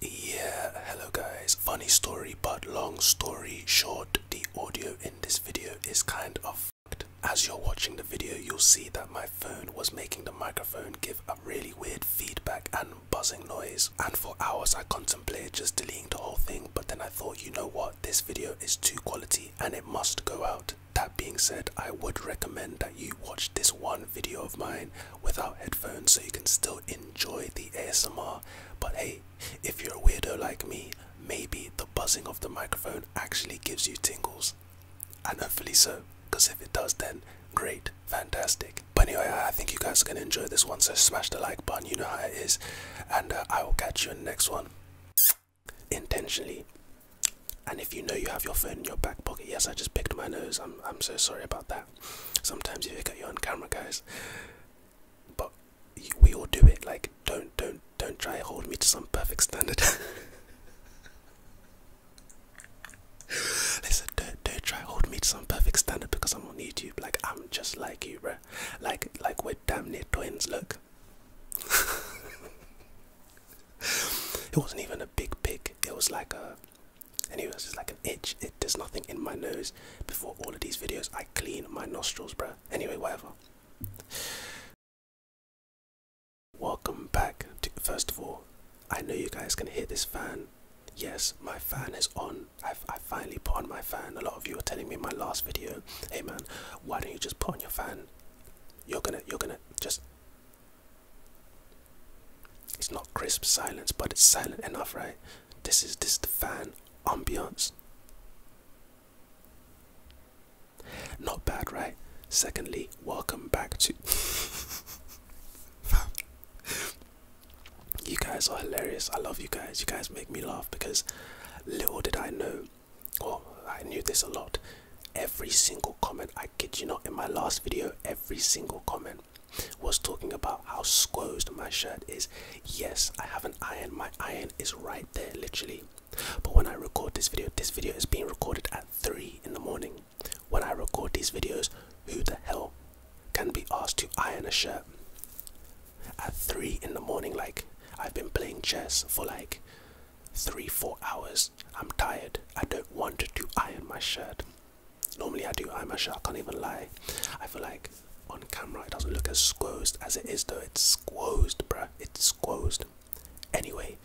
Yeah, hello guys. Funny story, but long story short, the audio in this video is kind of fucked. As you're watching the video, you'll see that my phone was making the microphone give a really weird feedback and buzzing noise. And for hours, I contemplated just deleting the whole thing, but then I thought, you know what, this video is too quality and it must go out. That being said, I would recommend that you watch this one video of mine without headphones so you can still enjoy the ASMR. But hey, if you're a weirdo like me, maybe the buzzing of the microphone actually gives you tingles. And hopefully so, because if it does, then great, fantastic. But anyway, I think you guys are going to enjoy this one, so smash the like button, you know how it is. And uh, I will catch you in the next one. Intentionally. And if you know you have your phone in your back pocket, yes, I just picked my nose. I'm, I'm so sorry about that. Sometimes you look at your own camera, guys. But we all do it. Like, don't, don't, don't try and hold me to some perfect standard. Listen, don't, don't try hold me to some perfect standard because I'm on YouTube. Like, I'm just like you, bro. Like, like we're damn near twins. Look. it wasn't even a big pig. It was like a Anyways, it's like an itch. It does nothing in my nose. Before all of these videos, I clean my nostrils, bro. Anyway, whatever. Welcome back. To, first of all, I know you guys can hear this fan. Yes, my fan is on. i I finally put on my fan. A lot of you were telling me in my last video, hey man, why don't you just put on your fan? You're gonna, you're gonna just it's not crisp silence, but it's silent enough, right? This is this the fan ambiance. Not bad, right? Secondly, welcome back to. you guys are hilarious. I love you guys. You guys make me laugh because little did I know, or I knew this a lot. Every single comment I I kid you know, in my last video, every single comment was talking about how squozed my shirt is. Yes, I have an iron. My iron is right there, literally. But when I record this video, this video is being recorded at 3 in the morning. When I record these videos, who the hell can be asked to iron a shirt? At 3 in the morning, like, I've been playing chess for like 3 4 hours. I'm tired. I don't want to iron my shirt. Normally I do I'm a mash I can't even lie. I feel like on camera it doesn't look as squoosed as it is though. It's squoosed, bruh. It's squoosed. Anyway,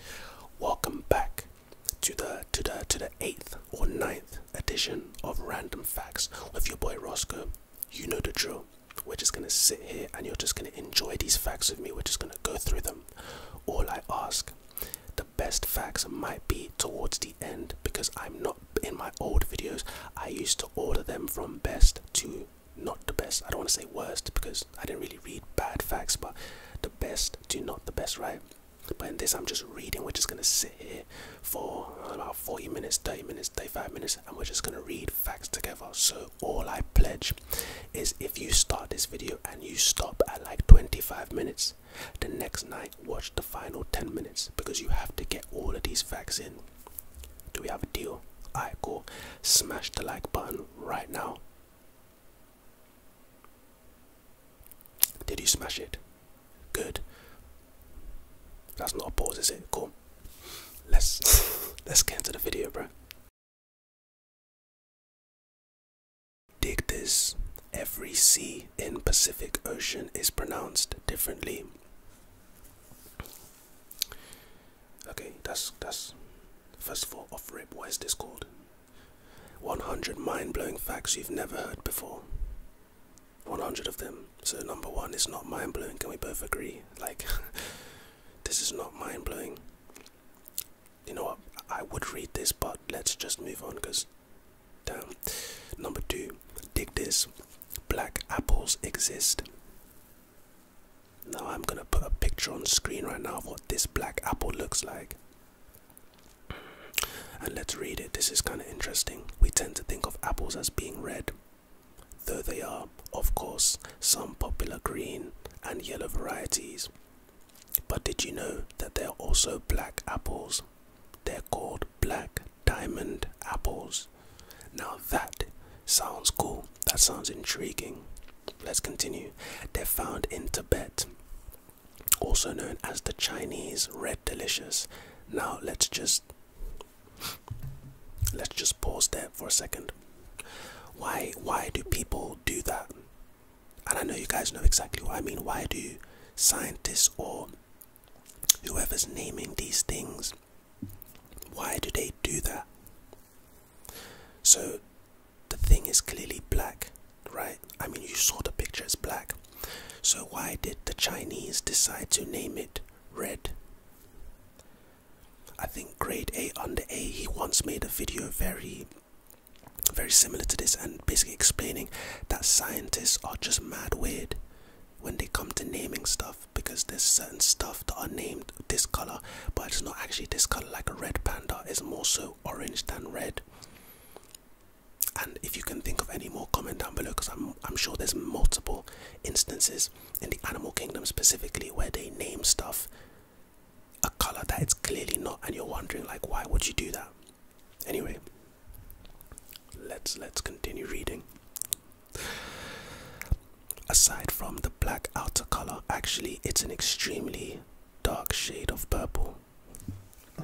welcome back to the to the to the eighth or ninth edition of Random Facts with your boy Roscoe. You know the drill. We're just gonna sit here and you're just gonna enjoy these facts with me. We're just gonna go through them. All I ask the best facts might be towards the end because I'm not in my old videos. I used to order them from best to not the best. I don't want to say worst because I didn't really read bad facts, but the best to not the best, right? But in this, I'm just reading. We're just gonna sit here for about 40 minutes, 30 minutes, 35 minutes, and we're just gonna read facts together. So, all I pledge is if you start this video and you stop at like 25 minutes, the next night, watch the final 10 minutes because you have to get all of these facts in. Do we have a deal? Alright, cool. Smash the like button right now. Did you smash it? Good. That's not a pause, is it? Cool. Let's let's get into the video, bro. Dig this. Every sea in Pacific Ocean is pronounced differently. Okay, that's that's first of all off rip, what is this called? 100 mind-blowing facts you've never heard before. 100 of them. So number one is not mind-blowing. Can we both agree? Like, this is not mind-blowing. You know what? I would read this, but let's just move on because down. Number two, dig this. Black apples exist. Now I'm gonna put a picture on screen right now of what this black apple looks like. And let's read it. This is kind of interesting. We tend to think of apples as being red, though they are, of course, some popular green and yellow varieties. But did you know that there are also black apples? They're called black diamond apples. Now that sounds cool. That sounds intriguing. Let's continue. They're found in Tibet, also known as the Chinese red delicious. Now let's just let's just pause there for a second. Why why do people do that? and I know you guys know exactly what I mean. Why do scientists or whoever's naming these things, why do they do that? So the thing is clearly black, right? I mean, you saw the picture, it's black. So why did the Chinese decide to name it red? I think grade A under A, he once made a video very very similar to this and basically explaining that scientists are just mad weird when they come to naming stuff because there's certain stuff that are named this color but it's not actually this color like a red panda is more so orange than red and if you can think of any more comment down below because I'm, I'm sure there's multiple instances in the animal kingdom specifically where they name stuff a color that it's clearly not and you're wondering like why would you do that Anyway, let's let's continue reading. Aside from the black outer color, actually it's an extremely dark shade of purple.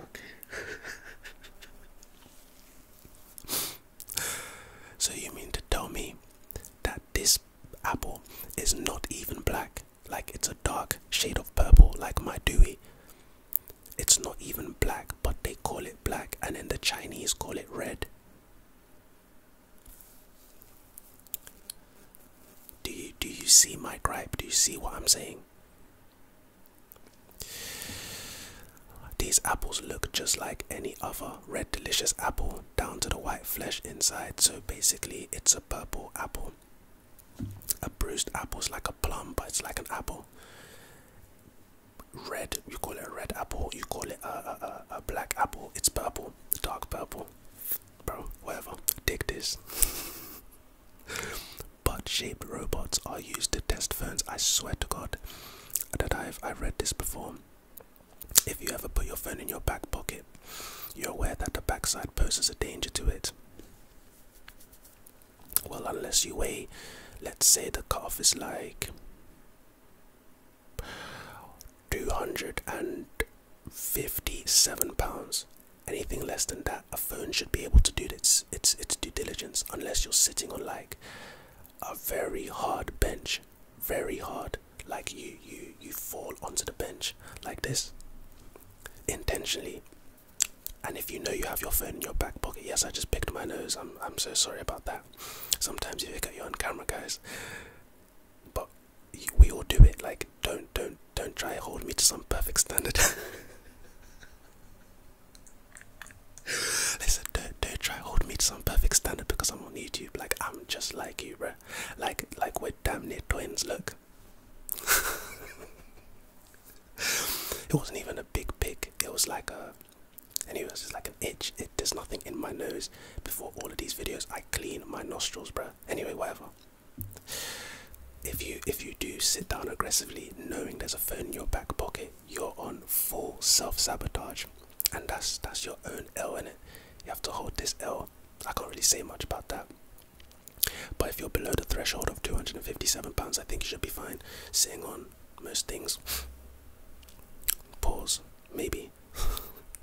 so you mean to tell me that this apple is not even black? Like it's a dark shade of purple, like my Dewey. It's not even black, but they call it black, and then the Chinese call it red. Do you do you see my gripe? Do you see what I'm saying? These apples look just like any other red delicious apple down to the white flesh inside. So basically it's a purple apple. A bruised apple is like a plum, but it's like an apple. Red, you call it a red apple, you call it a, a, a, black apple, it's purple, dark purple. Bro, whatever, dig this. Butt shaped robots are used to test ferns. I swear to God that I've I read this before. If you ever put your phone in your back pocket, you're aware that the backside poses a danger to it. Well, unless you weigh, let's say the calf is like 257 pounds. Anything less than that, a phone should be able to do its, its, its due diligence unless you're sitting on like a very hard bench. Very hard. Like you, you, you fall onto the bench like this intentionally and if you know you have your phone in your back pocket, yes, I just picked my nose. I'm I'm so sorry about that. Sometimes you look at your own camera, guys. But we all do it. Like, don't don't don't try hold me to some perfect standard. Listen, don't don't try hold me to some perfect standard because I'm on YouTube. Like, I'm just like you, bro. Like like we're damn near twins. Look. it wasn't even a big pig. It was like a. Anyway, it's just like an itch. It does nothing in my nose. Before all of these videos, I clean my nostrils, bro. Anyway, whatever. If you if you do sit down aggressively, knowing there's a phone in your back pocket, you're on full self sabotage, and that's that's your own L in it. You have to hold this L. I can't really say much about that. But if you're below the threshold of £257, I think you should be fine Seeing on most things. Pause. Maybe.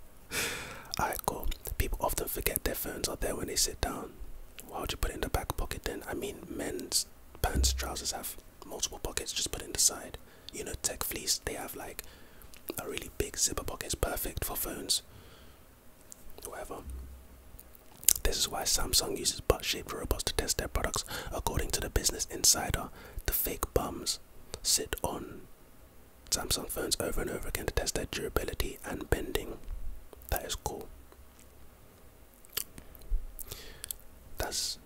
I cool. People often forget their phones are there when they sit down. Why would you put it in the back pocket then? I mean, men's pants, trousers have multiple pockets, just put it in the side. You know, tech fleece, they have like a really big zipper pocket, it's perfect for phones. Whatever. This is why Samsung uses butt shaped robots to test their products. According to the Business Insider, the fake bums sit on Samsung phones over and over again to test their durability and bending. That is cool. That's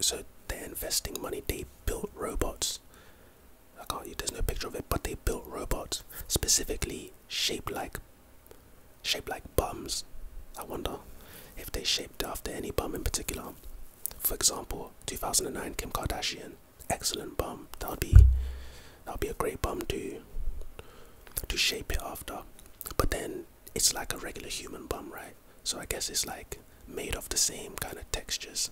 so they're investing money. They built robots. I can't. There's no picture of it, but they built robots specifically shaped like Shaped like bums. I wonder if they shaped after any bum in particular. For example, 2009 Kim Kardashian, excellent bum. That will be that would be a great bum to to shape it after. But then it's like a regular human bum, right? So I guess it's like made of the same kind of textures.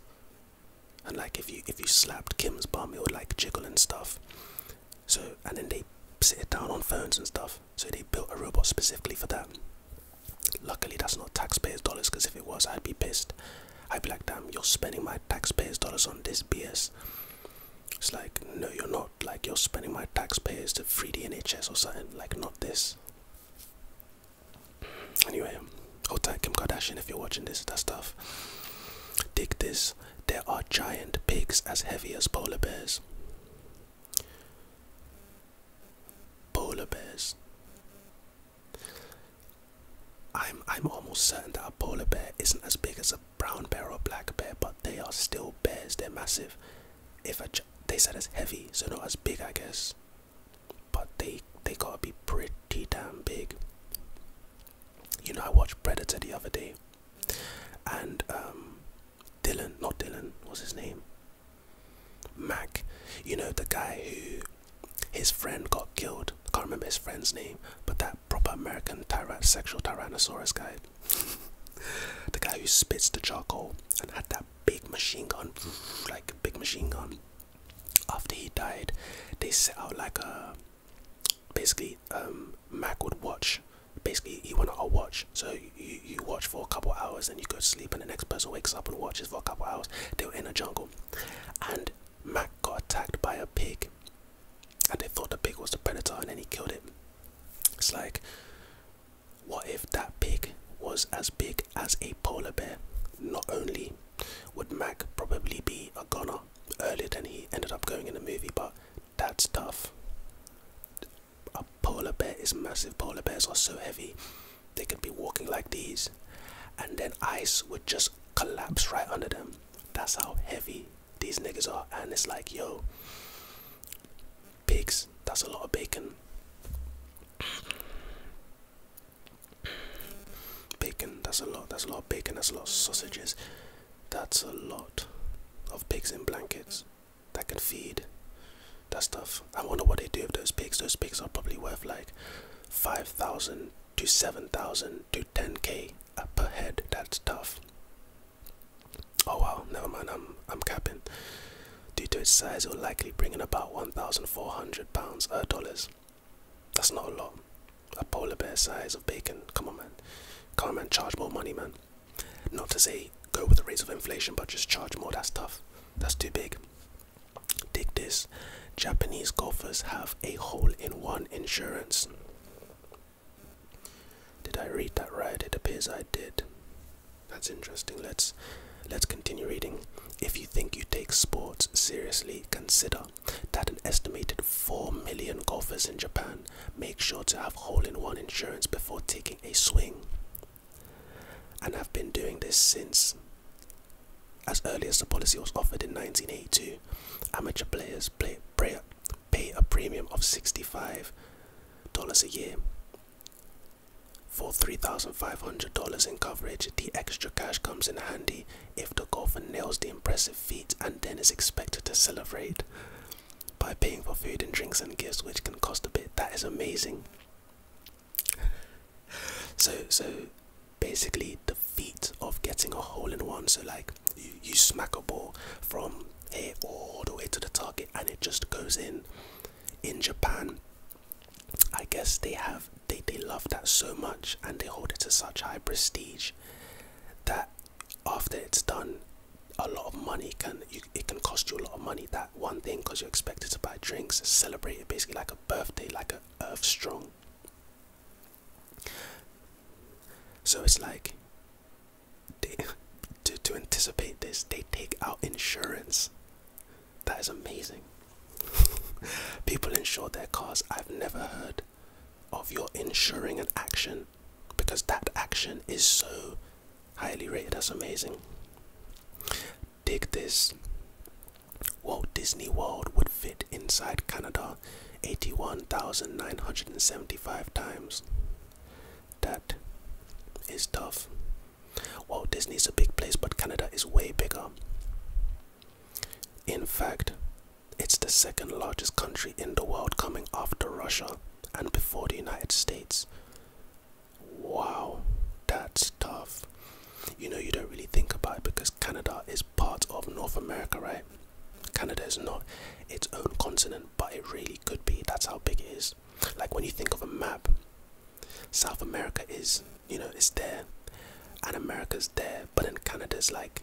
And like if you if you slapped Kim's bum, it would like jiggle and stuff. So and then they sit it down on phones and stuff. So they built a robot specifically for that. Luckily, that's not taxpayers' dollars. Because if it was, I'd be pissed. I'd be like, damn, you're spending my taxpayers' dollars on this BS. It's like, no, you're not. Like you're spending my taxpayers to free the NHS or something. Like not this. Anyway, hold tight, Kim Kardashian, if you're watching this. That stuff. Dig this there are giant pigs as heavy as polar bears. Polar bears. I'm I'm almost certain that a polar bear isn't as big as a brown bear or black bear, but they are still bears. They're massive. If a they said as heavy, so not as big, I guess. But they they gotta be pretty damn big. You know, I watched Predator the other day, and um, Dylan, not Dylan, what's his name? Mac, you know the guy who his friend got killed. I can't remember his friend's name, but that proper American tyran sexual tyrannosaurus guy, the guy who spits the charcoal and had that big machine gun, like a big machine gun. After he died, they set out like a basically um, Mac would watch basically you want to watch so you, you watch for a couple hours and you go to sleep and the next person wakes up and watches for a couple hours they were in a jungle and mac got attacked by a pig and they thought the pig was the predator and then he killed it it's like what if that pig was as big as a polar bear not only would mac probably be a goner earlier than he ended up going in the movie but that's tough. A polar bear is massive. Polar bears are so heavy, they could be walking like these, and then ice would just collapse right under them. That's how heavy these niggas are. And it's like, yo, pigs, that's a lot of bacon. Bacon, that's a lot, that's a lot of bacon, that's a lot of sausages. That's a lot of pigs in blankets that can feed that stuff. I wonder what they do with those pigs. Those pigs are probably worth like 5,000 to 7,000 to 10k per head. That's tough. Oh well, never mind. I'm I'm capping. Due to its size, it will likely bring in about 1,400 pounds or uh, dollars. That's not a lot. A polar bear size of bacon. Come on, man. Come on, man. Charge more money, man. Not to say go with the rates of inflation, but just charge more. That's tough. That's too big. Dig this. Japanese golfers have a hole in one insurance. Did I read that right? It appears I did. That's interesting. Let's let's continue reading. If you think you take sports seriously, consider that an estimated 4 million golfers in Japan make sure to have hole-in-one insurance before taking a swing. And I've been doing this since as early as the policy was offered in 1982. Amateur players pay a premium of $65 a year. For $3,500 in coverage, the extra cash comes in handy if the golfer nails the impressive feat and then is expected to celebrate by paying for food and drinks and gifts, which can cost a bit. That is amazing. so, so basically, the feat of getting a hole in one. So, like, you, you smack a ball from here all the way to the target, and it just goes in. In Japan, I guess they have they they love that so much, and they hold it to such high prestige that after it's done a lot of money can it can cost you a lot of money that one thing because you're expected to buy drinks celebrate it basically like a birthday like a earth strong so it's like to, to anticipate this they take out insurance that is amazing people insure their cars i've never heard of your ensuring an action because that action is so highly rated as amazing. Dig this Walt Disney World would fit inside Canada 81,975 times. That is tough. Walt Disney is a big place, but Canada is way bigger. In fact, it's the second largest country in the world, coming after Russia and before the United States. Wow, that's tough. You know, you don't really think about it because Canada is part of North America, right? Canada is not its own continent, but it really could be. That's how big it is. Like when you think of a map, South America is, you know, it's there, and America's there, but then Canada's like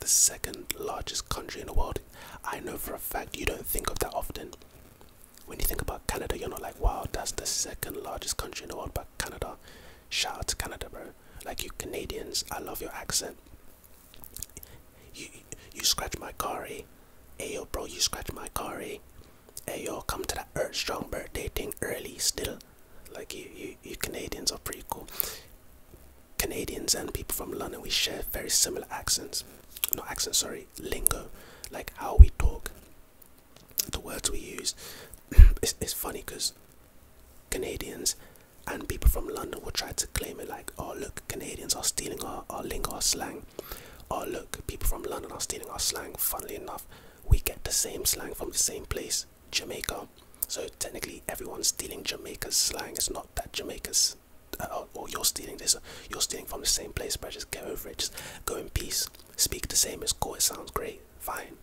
the second largest country in the world. I know for a fact you don't think of that often. When you think about Canada, you're not like, wow, that's the second largest country in the world, but Canada, shout to Canada, bro. Like you Canadians, I love your accent. You you scratch my car, eh? Hey, yo, bro, you scratch my car, eh? Hey, yo, come to that Earth Strong bird, dating early still. Like you, you, you Canadians are pretty cool. Canadians and people from London, we share very similar accents. Not accents, sorry, lingo. Like how we talk, the words we use. it's, funny because Canadians and people from London will try to claim it like, oh, look, Canadians are stealing our, our lingo, our slang. Oh, look, people from London are stealing our slang. Funnily enough, we get the same slang from the same place. Jamaica. So technically, everyone's stealing Jamaica slang. It's not that Jamaica's uh, or you're stealing this. You're stealing from the same place, but just get over it. Just go in peace. Speak the same. as cool. It sounds great. Fine.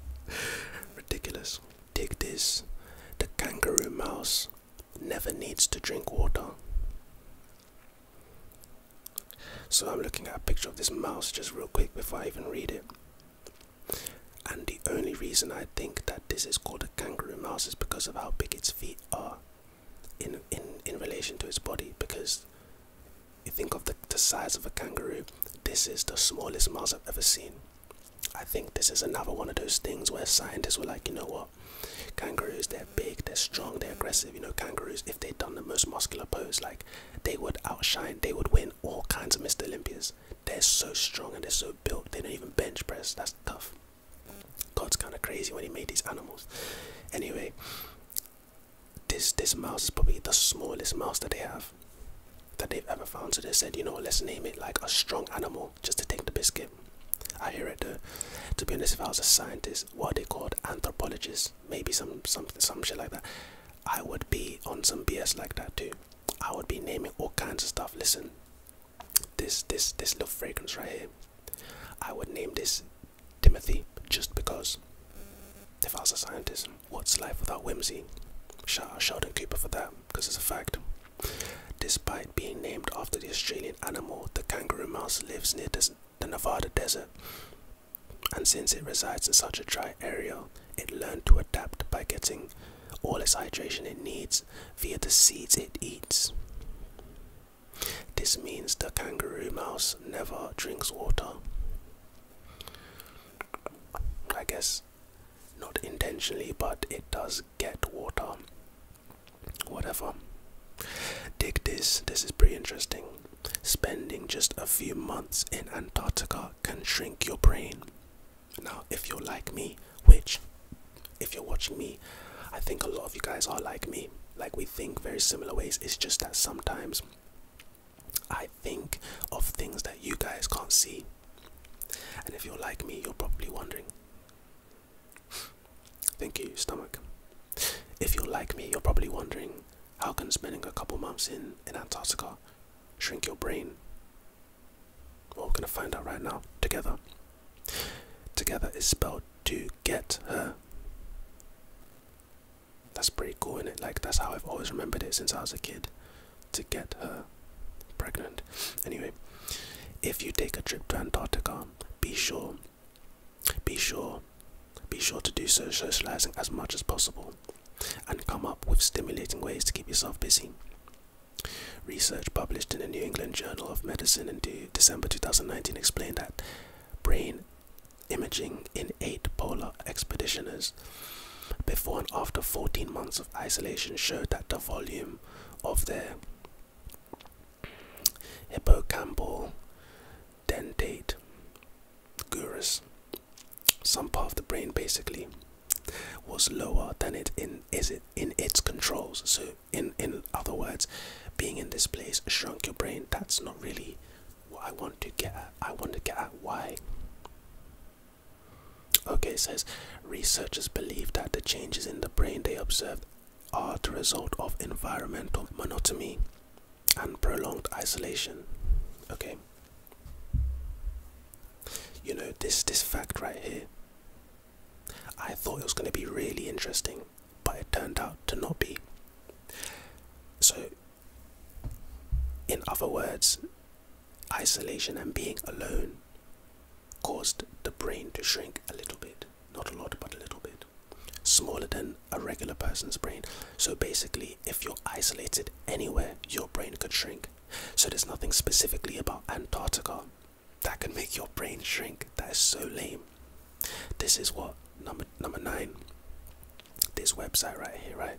Ridiculous. Take this. The kangaroo mouse never needs to drink water. So I'm looking at a picture of this mouse just real quick before I even read it. And the only reason I think that this is called a kangaroo mouse is because of how big its feet are in in in relation to its body because you think of the, the size of a kangaroo this is the smallest mouse i've ever seen i think this is another one of those things where scientists were like you know what kangaroos they're big they're strong they're aggressive you know kangaroos if they'd done the most muscular pose like they would outshine they would win all kinds of mr olympias they're so strong and they're so built they don't even bench press that's tough god's kind of crazy when he made these animals anyway this this mouse is probably the smallest mouse that they have that they've ever found so they said you know let's name it like a strong animal just to take the biscuit i hear it though to be honest if i was a scientist what they called anthropologists maybe some some some shit like that i would be on some bs like that too I would be naming all kinds of stuff. Listen, this this this little fragrance right here, I would name this Timothy just because. If I was a scientist, what's life without whimsy? Shout out Sheldon Cooper for that, because it's a fact. Despite being named after the Australian animal, the kangaroo mouse lives near the Nevada desert, and since it resides in such a dry area, it learned to adapt by getting all its hydration it needs via the seeds it eats. This means the kangaroo mouse never drinks water. I guess not intentionally, but it does get water. Whatever. Dig this, this is pretty interesting. Spending just a few months in Antarctica can shrink your brain now, if you're like me, which, if you're watching me, I think a lot of you guys are like me. Like, we think very similar ways. It's just that sometimes I think of things that you guys can't see. And if you're like me, you're probably wondering. Thank you, stomach. If you're like me, you're probably wondering how can spending a couple months in, Antarctica shrink your brain? we're gonna find out right now together. Together is spelled to get her. That's pretty cool, is it? Like that's how I've always remembered it since I was a kid. To get her pregnant. Anyway, if you take a trip to Antarctica, be sure, be sure, be sure to do so socializing as much as possible and come up with stimulating ways to keep yourself busy. Research published in the New England Journal of Medicine in December 2019 explained that brain imaging in eight polar expeditioners before and after 14 months of isolation showed that the volume of their hippocampal dentate gyrus some part of the brain basically was lower than it in is it in its controls so in in other words being in this place shrunk your brain that's not really what i want to get at i want to get at why okay it says researchers believe that the changes in the brain they observed are the result of environmental monotony and prolonged isolation okay you know, this this fact right here. I thought it was going to be really interesting, but it turned out to not be. So, in other words, isolation and being alone caused the brain to shrink a little bit. Not a lot, but a little bit. Smaller than a regular person's brain. So, basically, if you're isolated anywhere, your brain could shrink. So there's nothing specifically about Antarctica that can make your brain shrink. That is so lame. This is what number number nine. This website right here, right?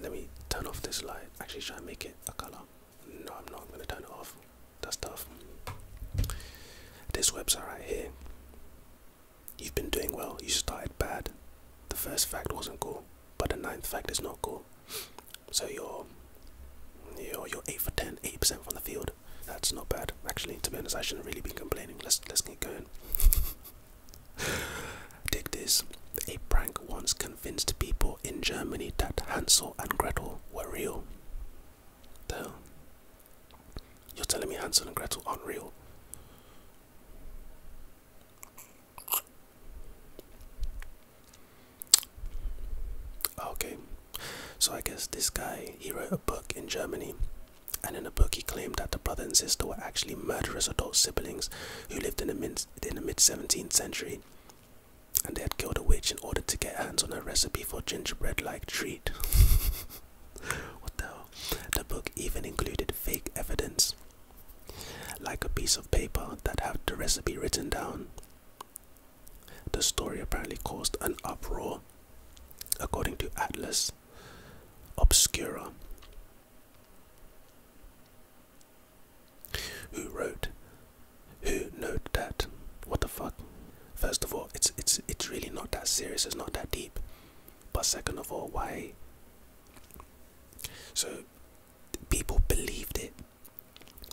Let me turn off this light. Actually, try and make it a color? No, I'm not. gonna turn it off. That's tough. This website right here. You've been doing well. You started bad. The first fact wasn't cool but the ninth fact is not cool. So you're you're you're eight for 10, 8 percent from the field. That's not bad, actually. To be honest, I shouldn't really be complaining. Let's let's get going. Dig this. A prank once convinced people in Germany that Hansel and Gretel were real. The You're telling me Hansel and Gretel aren't real? Okay, so I guess this guy he wrote a book in Germany, and in the book he claimed that the brother and sister were actually murderous adult siblings who lived in the mid in the mid 17th century, and they had killed a witch in order to get hands on a recipe for gingerbread-like treat. what the hell? The book even included fake evidence like a piece of paper that had the recipe written down. The story apparently caused an uproar, according to Atlas Obscura, who wrote, who noted that, what the fuck? First of all, it's it's it's really not that serious. It's not that deep. But second of all, why? So people believed it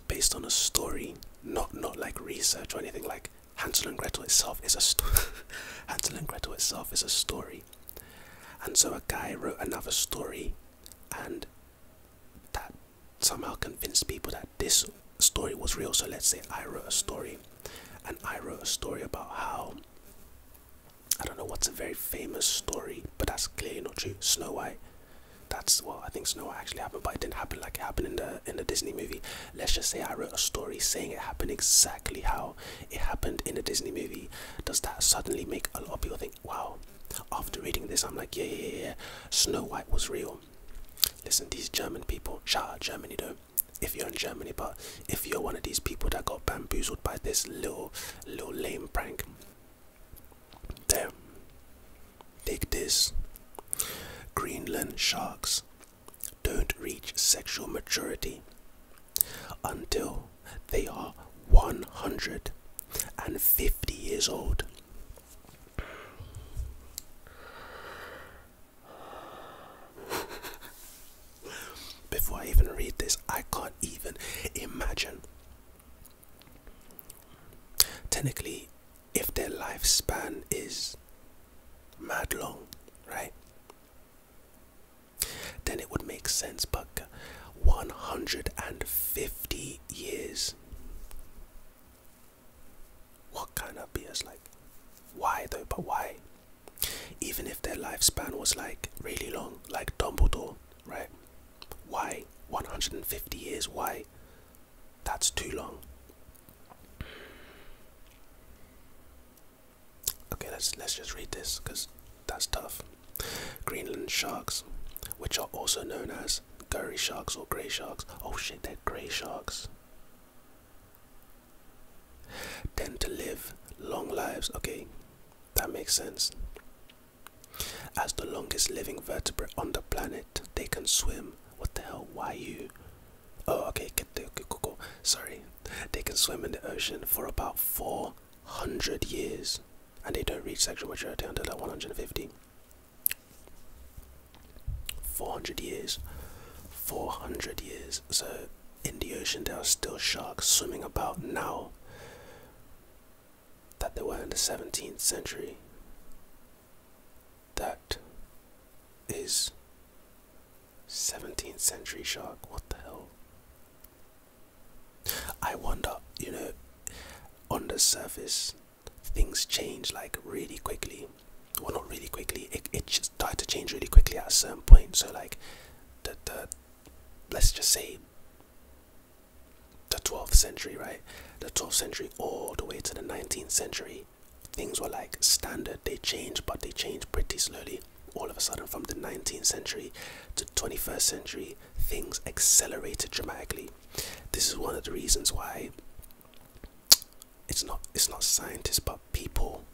based on a story, not not like research or anything. Like Hansel and Gretel itself is a story. Hansel and Gretel itself is a story, and so a guy wrote another story, and that somehow convinced people that this story was real. So let's say I wrote a story, and I wrote a story about how I don't know what's a very famous story, but that's clearly not true. Snow White. That's well, I think Snow White actually happened, but it didn't happen like it happened in the in the Disney movie. Let's just say I wrote a story saying it happened exactly how it happened in the Disney movie. Does that suddenly make a lot of people think, wow? After reading this, I'm like, yeah, yeah, yeah, Snow White was real. Listen, these German people. Shout out Germany though. If you're in Germany, but if you're one of these people that got bamboozled by this little, little lame prank, Damn. Take this. Greenland sharks don't reach sexual maturity until they are 150 years old. Before I even read this, I can't even imagine Technically, if their lifespan is mad long, right? Then it would make sense, but 150 years. What kind of BS? Like, why though? But why? Even if their lifespan was like really long, like Dumbledore, right? Why? 150 years? Why? That's too long. Okay, let's let's just read this because that's tough. Greenland sharks, which are also known as gory sharks or grey sharks. Oh shit, they're grey sharks. Tend to live long lives. Okay, that makes sense. As the longest living vertebrate on the planet, they can swim. What the hell? Why you? Oh, okay, get the okay, cool, Sorry, they can swim in the ocean for about 400 years, and they don't reach sexual maturity until like 150. 400 years, 400 years. So in the ocean, there are still sharks swimming about now that they were in the 17th century. That is 17th century shark. What the hell? I wonder, you know, on the surface, things change like really quickly. Well, not really quickly. It, just started to change really quickly at a certain point. So, like, the, the let's just say the 12th century, right? The 12th century all the way to the 19th century, things were like standard. They changed, but they changed pretty slowly. All of a sudden, from the 19th century to 21st century, things accelerated dramatically. This is one of the reasons why it's not it's not scientists but people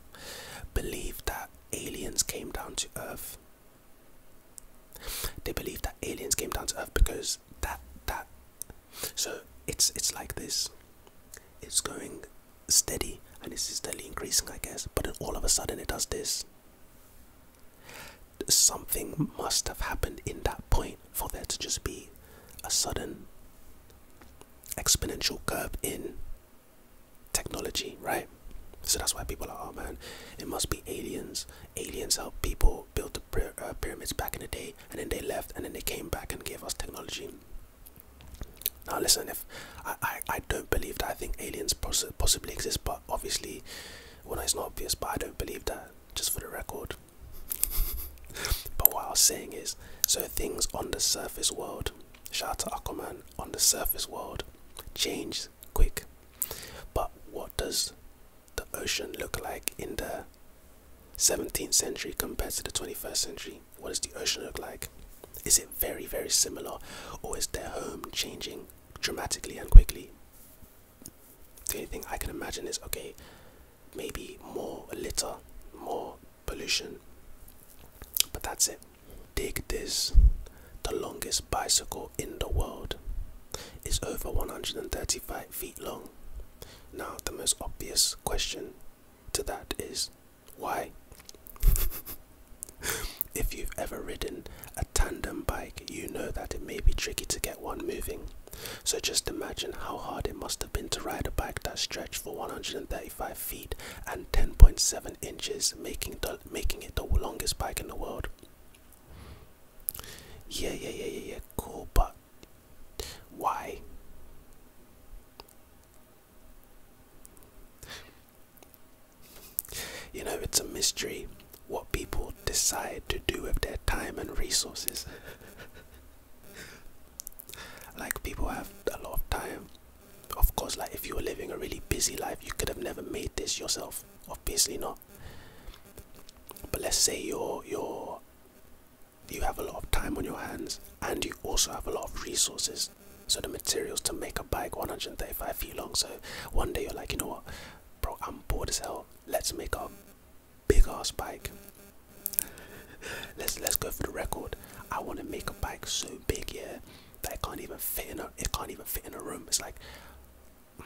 believe that aliens came down to Earth they believe that aliens came down to Earth because that that so it's it's like this. It's going steady and it's steadily increasing I guess, but then all of a sudden it does this. Something must have happened in that point for there to just be a sudden exponential curve in technology, right? So that's why people are, oh man, it must be aliens. Aliens helped people build the uh, pyramids back in the day, and then they left, and then they came back and gave us technology. Now listen, if I, I, I don't believe that, I think aliens poss possibly exist, but obviously, well, it's not obvious, but I don't believe that, just for the record. but what I am saying is, so things on the surface world, shout out to Aquaman, on the surface world, change quick. But what does the ocean look like in the 17th century compared to the 21st century? What does the ocean look like? Is it very, very similar, or is their home changing dramatically and quickly? The only thing I can imagine is okay, maybe more litter, more pollution, but that's it. Dig this the longest bicycle in the world It's over 135 feet long. Now, the most obvious question to that is why? if you've ever ridden a tandem bike, you know that it may be tricky to get one moving. So just imagine how hard it must have been to ride a bike that stretched for 135 feet and 10.7 inches, making, the, making it the longest bike in the world. Yeah, yeah, yeah, yeah, yeah, cool, but why? You know, it's a mystery what people decide to do with their time and resources. like, people have a lot of time. Of course, like, if you were living a really busy life, you could have never made this yourself obviously not but let's say you're you're you have a lot of time on your hands and you also have a lot of resources so the materials to make a bike 135 feet long so one day you're like you know what bro i'm bored as hell let's make a big ass bike let's let's go for the record i want to make a bike so big yeah that it can't even fit in a it can't even fit in a room. It's like mm.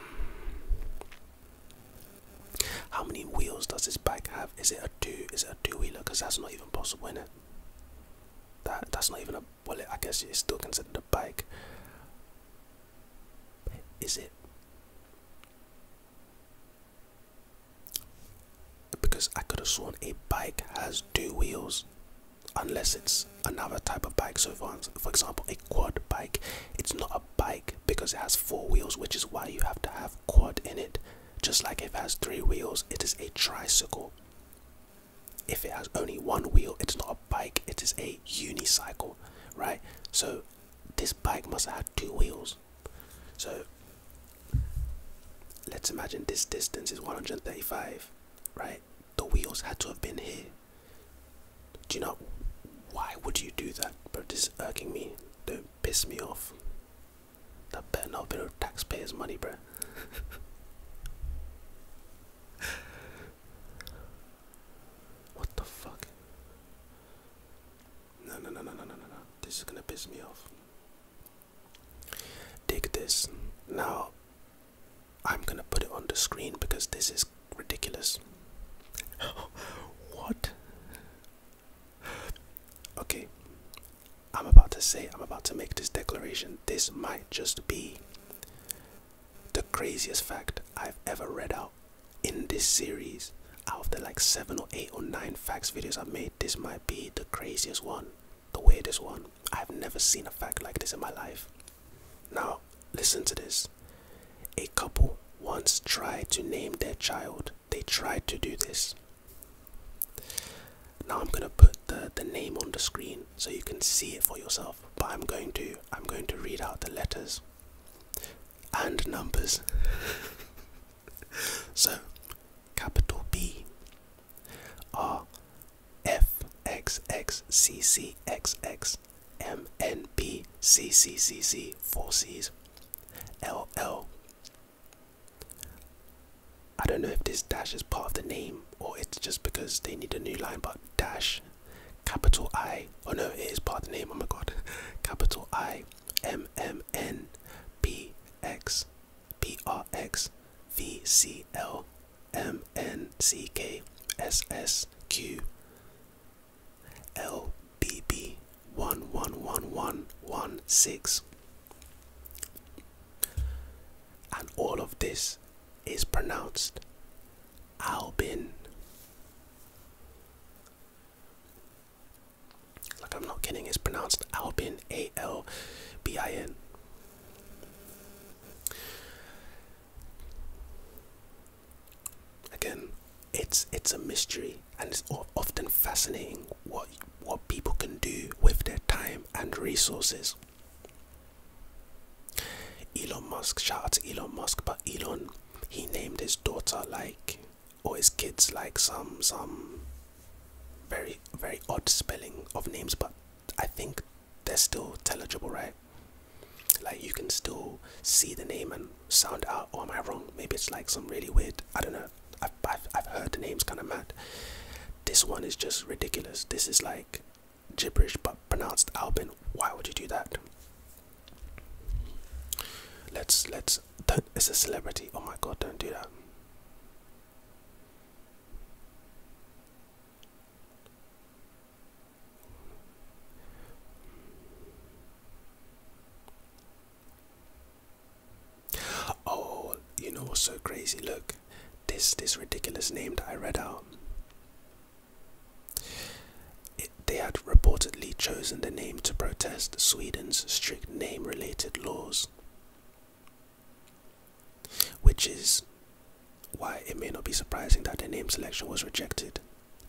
how many wheels does this bike have? Is it a two? Is it a two-wheeler? Because that's not even possible, in it. That that's not even a well. I guess it's still considered a bike. Is it? Because I could have sworn a bike has two wheels unless it's another type of bike. So, for, example, a quad bike, it's not a bike because it has four wheels, which is why you have to have quad in it. Just like if it has three wheels, it is a tricycle. If it has only one wheel, it's not a bike, it is a unicycle, right? So, this bike must have two wheels. So, let's imagine this distance is 135, right? The wheels had to have been here. Do you know why would you do that? But this is irking me. Don't piss me off. That better not be taxpayers' money, bro. what the fuck? No, no, no, no, no, no, no, no. This is gonna piss me off. Take this. Now, I'm gonna put it on the screen because this is ridiculous. what? Okay, I'm about to say, I'm about to make this declaration. This might just be the craziest fact I've ever read out in this series. Out of the like seven or eight or nine facts videos i made, this might be the craziest one, the weirdest one. I've never seen a fact like this in my life. Now, listen to this. A couple once tried to name their child. They tried to do this. Now I'm gonna put the, the name on the screen so you can see it for yourself. But I'm going to I'm going to read out the letters and numbers. so capital B R F X X C C X X M N B C C C C four C's L L. I don't know if this dash is part of the name or it's just because they need a new line, but dash capital I. Oh no, it is part of the name. Oh my god, capital I M M N B X B R X V C L M N C K S S Q L B B one one one one one six. And all of this is pronounced Albin. Like I'm not kidding, it's pronounced Albin A L B I N. Again, it's it's a mystery, and it's often fascinating what what people can do with their time and resources. Elon Musk, shouts Elon Musk, but Elon, he named his daughter like, or his kids like some some very very odd spelling of names, but I think they're still telegible, right? Like you can still see the name and sound out. Or oh, am I wrong? Maybe it's like some really weird. I don't know. I've I've, heard the names kind of mad. This one is just ridiculous. This is like gibberish but pronounced Albin. Why would you do that? Let's let's. Don't, it's a celebrity. Oh my god! Don't do that. Oh, you know what's so crazy? Look, this this ridiculous name that I read out. they had reportedly chosen the name to protest Sweden's strict name-related laws which is why it may not be surprising that the name selection was rejected.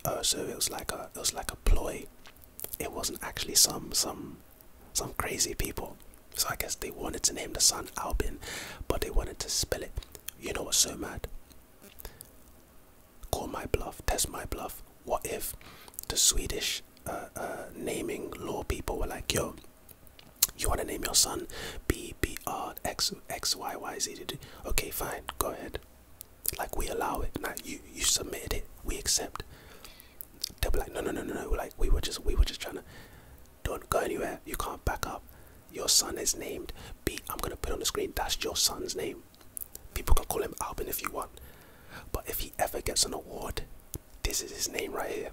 Uh, so it was like a it was like a ploy. It wasn't actually some some some crazy people. So I guess they wanted to name the son Albin, but they wanted to spell it. You know what's so mad? Call my bluff, test my bluff. What if the Swedish uh, uh, naming law people were like, yo, you want to name your son B B R X X Y Y Z? Okay, fine. Go ahead. Like we allow it. Now you you submitted it. We accept. They'll be like, no no no no no. like we were just we were just trying to. Don't go anywhere. You can't back up. Your son is named B. I'm gonna put on the screen. That's your son's name. People can call him Albin if you want. But if he ever gets an award, this is his name right here.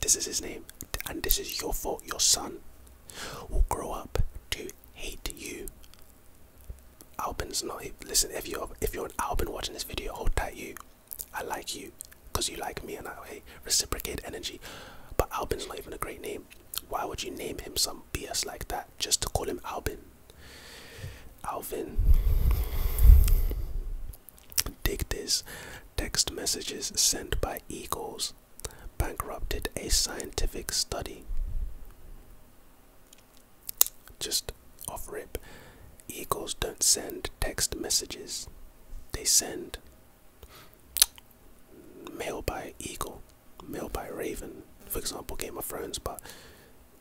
This is his name, and this is your fault. Your son will grow up to hate you. Albin's not. Listen, if you're if you're an Albin watching this video, I'll tell You, I like you, cause you like me, and I hey, reciprocate energy. But Albin's not even a great name. Why would you name him some BS like that just to call him Albin? Alvin. Dig this. Text messages sent by eagles bankrupted a scientific study. Just off rip, eagles don't send text messages, they send mail by eagle, mail by raven, for example, Game of Thrones, but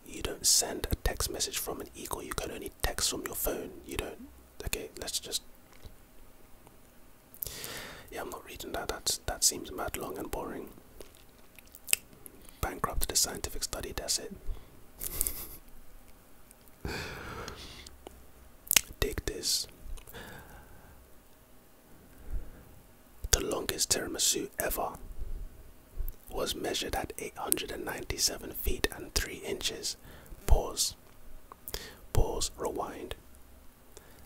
you don't send a text message from an eagle, you can only text from your phone. You don't, okay, let's just yeah, I'm not reading that. That's, that seems mad long and boring. Bankrupted a scientific study, that's it. Take this. The longest tiramisu ever was measured at 897 feet and 3 inches. Pause. Pause, rewind.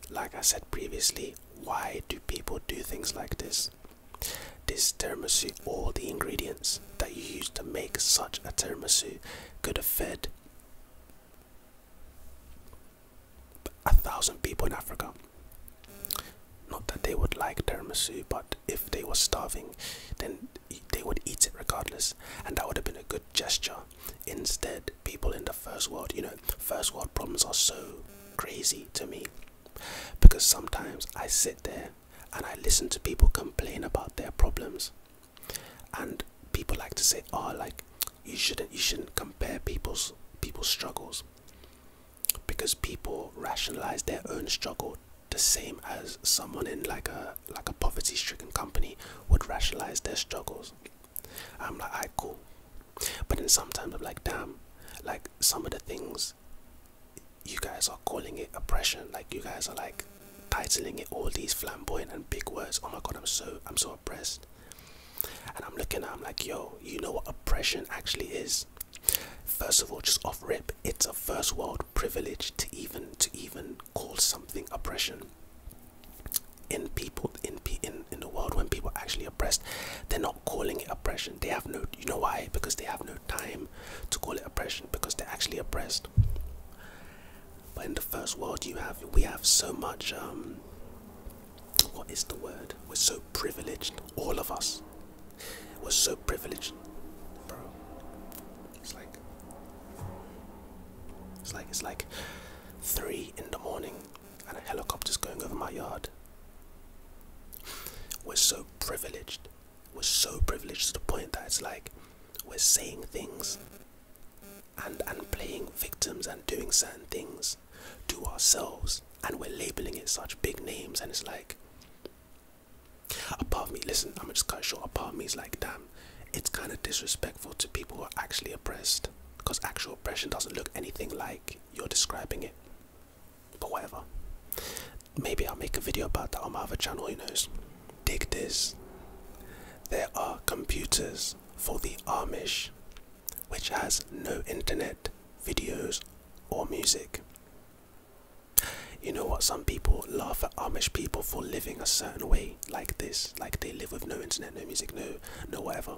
Like I said previously, why do people do things like this? This tiramisu, all the ingredients that you use to make such a tiramisu, could have fed a thousand people in Africa. Not that they would like tiramisu, but if they were starving, then they would eat it regardless, and that would have been a good gesture Instead, people in the first world, you know, first world problems are so crazy to me because sometimes I sit there and I listen to people complain about their problems, and people like to say, "Oh, like you shouldn't, you shouldn't compare people's people's struggles." Because people rationalize their own struggle the same as someone in like a like a poverty-stricken company would rationalize their struggles. I'm like, I cool. But then sometimes I'm like, damn, like some of the things you guys are calling it oppression. Like you guys are like titling it all these flamboyant and big words. Oh my god, I'm so I'm so oppressed. And I'm looking at I'm like, yo, you know what oppression actually is? First of all, just off rip, it's a first world privilege to even to even call something oppression in people in in in the world when people are actually oppressed they're not calling it oppression they have no you know why because they have no time to call it oppression because they're actually oppressed but in the first world you have we have so much um, what is the word we're so privileged all of us we're so privileged it's like it's like it's like three in the morning and a helicopter's going over my yard. We're so privileged. We're so privileged to the point that it's like we're saying things and and playing victims and doing certain things to ourselves and we're labeling it such big names and it's like apart part me listen i'm just cut short Apart part me is like damn it's kind of disrespectful to people who are actually oppressed because actual oppression doesn't look anything like you're describing it. But whatever. Maybe I'll make a video about that on my other channel, who knows? Dig this. There are computers for the Amish, which has no internet, videos, or music. You know what? Some people laugh at Amish people for living a certain way like this like they live with no internet, no music, no no whatever.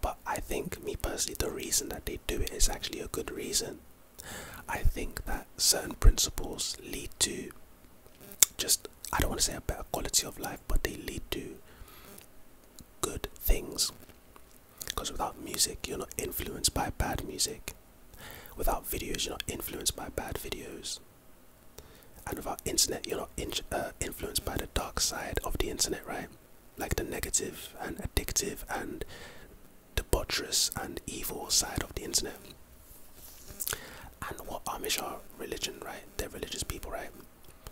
But I think me personally the reason that they do it is actually a good reason. I think that certain principles lead to just I don't want to say a better quality of life, but they lead to good things. Because without music, you're not influenced by bad music. Without videos, you're not influenced by bad videos and without internet you're not in uh, influenced by the dark side of the internet right like the negative and addictive and debaucherous and evil side of the internet and what amish are religion right they're religious people right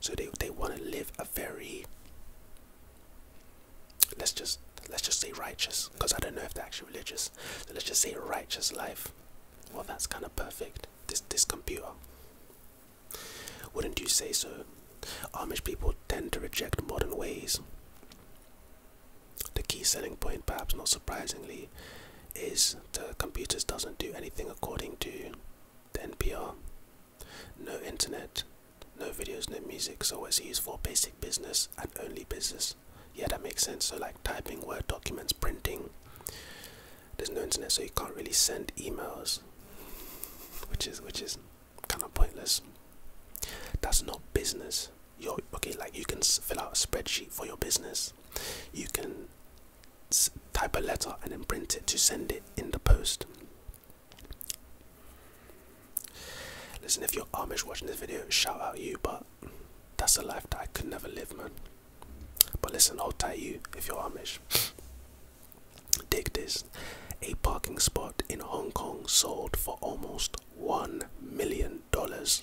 so they, they want to live a very let's just let's just say righteous because i don't know if they're actually religious so let's just say righteous life well that's kind of perfect this this computer. Wouldn't you say so? Amish people tend to reject modern ways. The key selling point, perhaps not surprisingly, is the computers doesn't do anything according to the NPR. No internet, no videos, no music, so it's used for basic business and only business. Yeah, that makes sense. So like typing, Word documents, printing, there's no internet, so you can't really send emails, which is which is kind of pointless. That's not business. you okay. Like you can fill out a spreadsheet for your business. You can type a letter and then print it to send it in the post. Listen, if you're Amish watching this video, shout out you, but that's a life that I could never live, man. But listen, I'll tie you if you're Amish. Dig this. A parking spot in Hong Kong sold for almost one million dollars.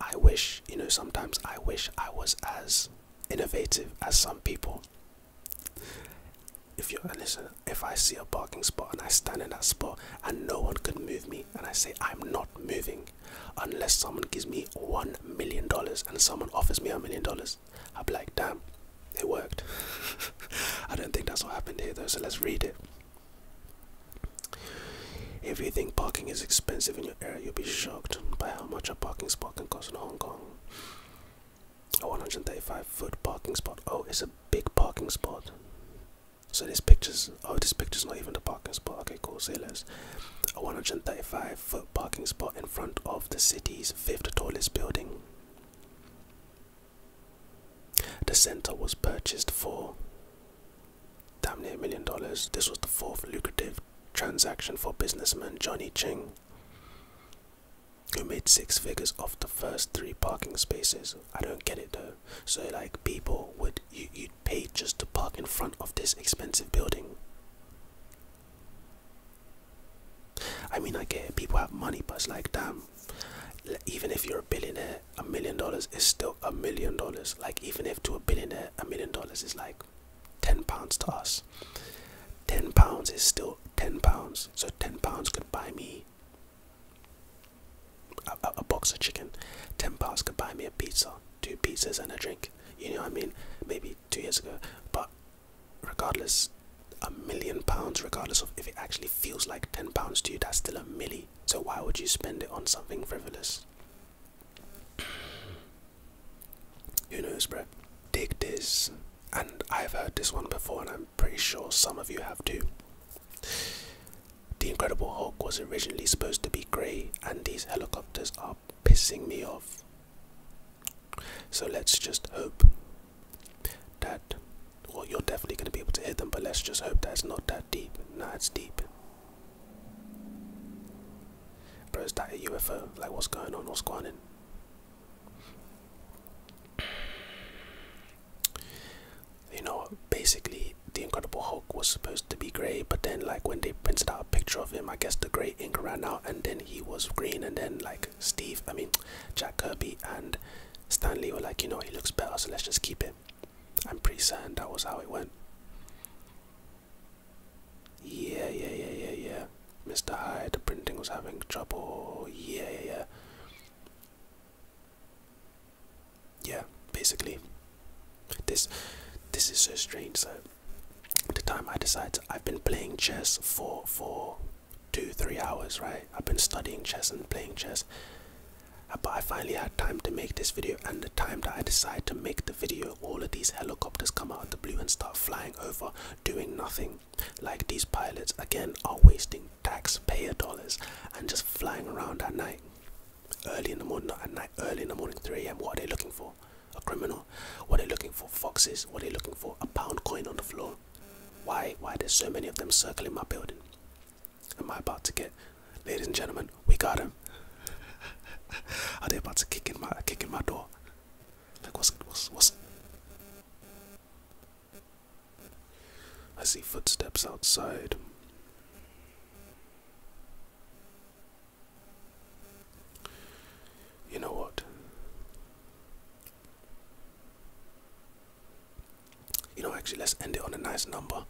I wish, you know, sometimes I wish I was as innovative as some people. If you listen, if I see a parking spot and I stand in that spot and no one can move me, and I say I'm not moving unless someone gives me one million dollars and someone offers me a million dollars, I'll be like, damn, it worked. I don't think that's what happened here though, so let's read it. If you think parking is expensive in your area, you'll be shocked by how much a parking spot can cost in Hong Kong. A 135 foot parking spot. Oh, it's a big parking spot. So this picture's oh this picture's not even the parking spot. Okay, cool. sailors A 135 foot parking spot in front of the city's fifth tallest building. The center was purchased for damn near a million dollars. This was the fourth lucrative transaction for businessman Johnny Ching, who made six figures off the first three parking spaces. I don't get it though. So like people would you you paid just to park in front of this expensive building. I mean, I get people have money, but it's like, damn, even if you're a billionaire, a million dollars is still a million dollars. Like, even if to a billionaire, a million dollars is like 10 pounds to us, 10 pounds is still 10 pounds. So, 10 pounds could buy me a, box of chicken. Ten pounds could buy me a pizza, two pizzas and a drink. You know what I mean? Maybe two years ago. But regardless, a million pounds, regardless of if it actually feels like ten pounds to you, that's still a milli. So why would you spend it on something frivolous? Who knows, bro? Dig this. And I've heard this one before, and I'm pretty sure some of you have too. The Incredible Hulk was originally supposed to be grey, and these helicopters are pissing me off. So let's just hope that. Well, you're definitely going to be able to hit them, but let's just hope that it's not that deep. Nah, it's deep. Bro, is that a UFO? Like, what's going on? What's going on? You know, basically, the Incredible Hulk was supposed to be gray, but then like when they printed out a picture of him, I guess the gray ink ran out, and then he was green, and then like Steve, I mean Jack Kirby and Stanley were like, you know, he looks better, so let's just keep it. I'm pretty certain that was how it went. Yeah, yeah, yeah, yeah, yeah. Mr. Hyde, the printing was having trouble. yeah, yeah yeah, basically, this this is so strange. So, the time I decide I've been playing chess for for two three hours, right? I've been studying chess and playing chess, uh, but I finally had time to make this video. And the time that I decide to make the video, all of these helicopters come out of the blue and start flying over, doing nothing. Like these pilots again are wasting taxpayer dollars and just flying around at night. Early in the morning, not at night, early in the morning, 3 a.m. What are they looking for? A criminal? What are they looking for? Foxes? What are they looking for? A pound coin on the floor? Why? Why are there so many of them circling my building? Am I about to get? Ladies and gentlemen, we got him. are they about to kick in my kick in my door? Like what's what's what's? I see footsteps outside. You know what? You know, actually, let's end it on a nice number.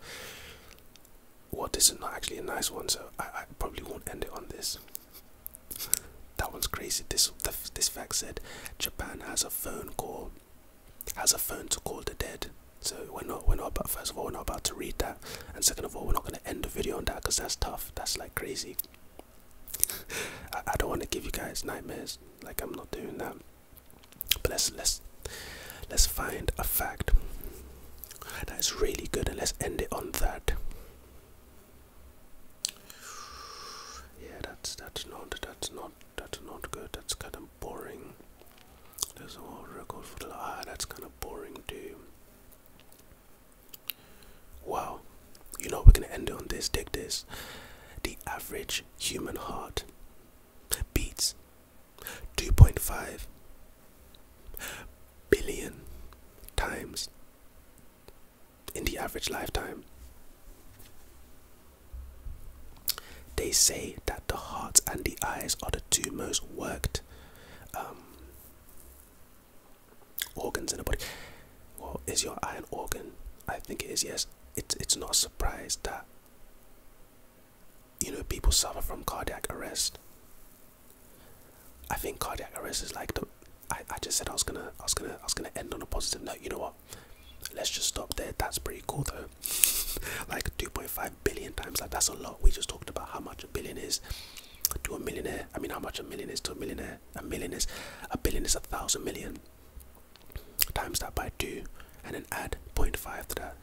Well, this is not actually a nice one, so I, probably won't end it on this. that one's crazy. This this fact said Japan has a phone call, has a phone to call the dead. So we're not we're not about first of all we're not about to read that and second of all we're not gonna end the video on that because that's tough. That's like crazy. I, don't wanna give you guys nightmares, like I'm not doing that. But let's let's let's find a fact that is really good and let's end it on that. Yeah that's that's not that's not that's not good that's kind of boring. There's a whole record for the ah, that's kind of boring too. Wow, you know we're gonna end on this. Take this. The average human heart beats 2.5 billion times in the average lifetime. They say that the heart and the eyes are the two most worked um, organs in the body. Well, is your eye an organ? I think it is. Yes. It's it's not surprised that you know people suffer from cardiac arrest. I think cardiac arrest is like the. I, I just said I was gonna I was gonna I was gonna end on a positive note. You know what? Let's just stop there. That's pretty cool though. like 2.5 billion times. Like that's a lot. We just talked about how much a billion is to a millionaire. I mean, how much a million is to a millionaire. A million is a billion is a thousand million. Times that by two, and then add 0.5 to that.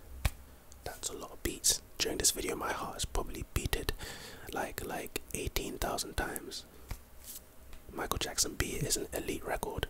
That's a lot of beats. During this video, my heart is probably beated like like 18,000 times. Michael Jackson beat is an elite record.